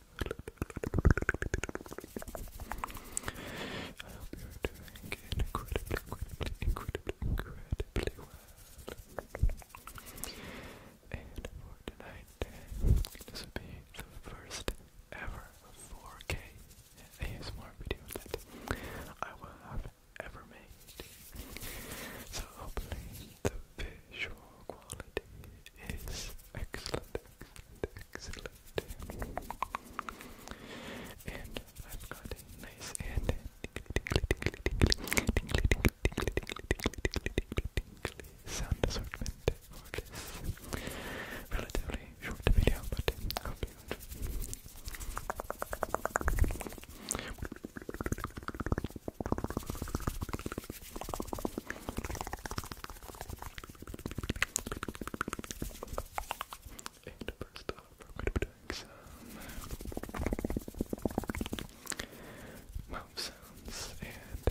I hope you doing incredibly, incredibly, incredibly, incredibly well. And for tonight, this will be the first ever 4K ASMR video that I will have ever made. So hopefully the visual quality is excellent, Excellent. And I've got a nice and sound assortment for this relatively short video, but I hope you and first off, we're going to be doing some mouth sounds and uh,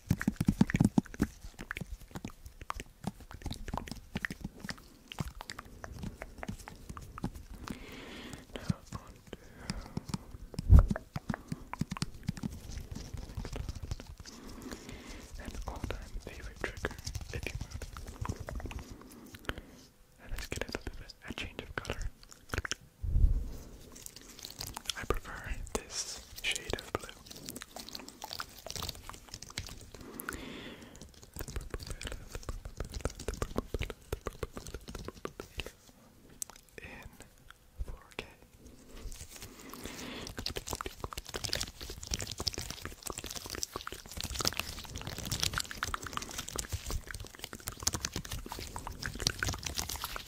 Uh, and all-time favorite trigger, if you would. And let's get a little bit of a change of color. I prefer this shade of blue. In 4K.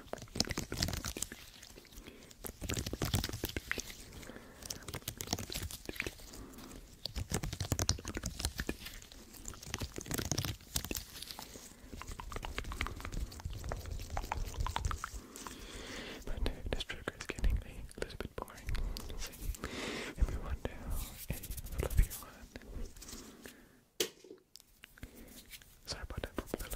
But uh, this trigger is getting a little bit boring. So, if we want to do a fluffier one. Sorry about that, Popilla.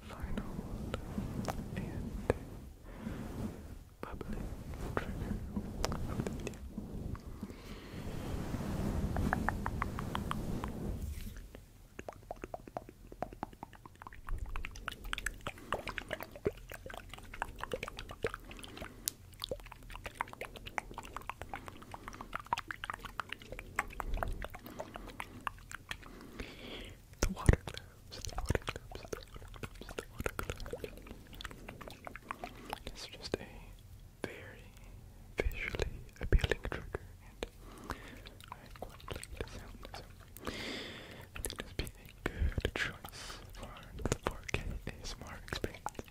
final and bubbly trigger of the video. The water globes, the water the water It's just a very visually appealing trigger, and I quite like the sound, so good choice for the 4K ASMR experience.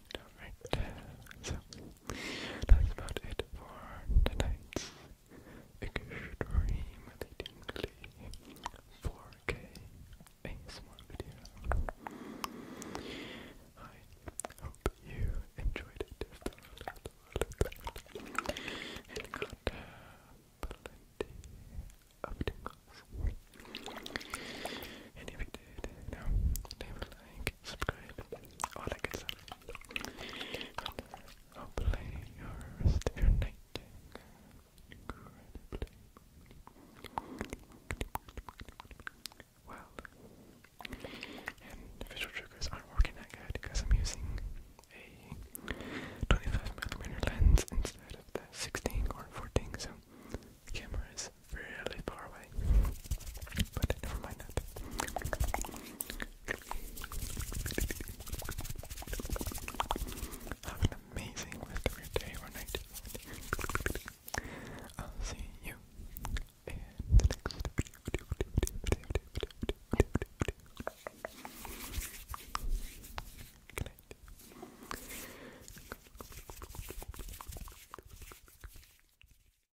Alright, So, that's about it for tonight's extremely tingly 4K ASMR video. I hope you enjoyed it if you did, leave a like subscribe, all that good stuff. And hopefully your rest of your night incredibly well. And visual triggers aren't working that good because I'm using a 25mm lens instead of the 16 or 14, so the really far away. But never mind that. Have an amazing rest of your day or night. I'll see you in the next video. Good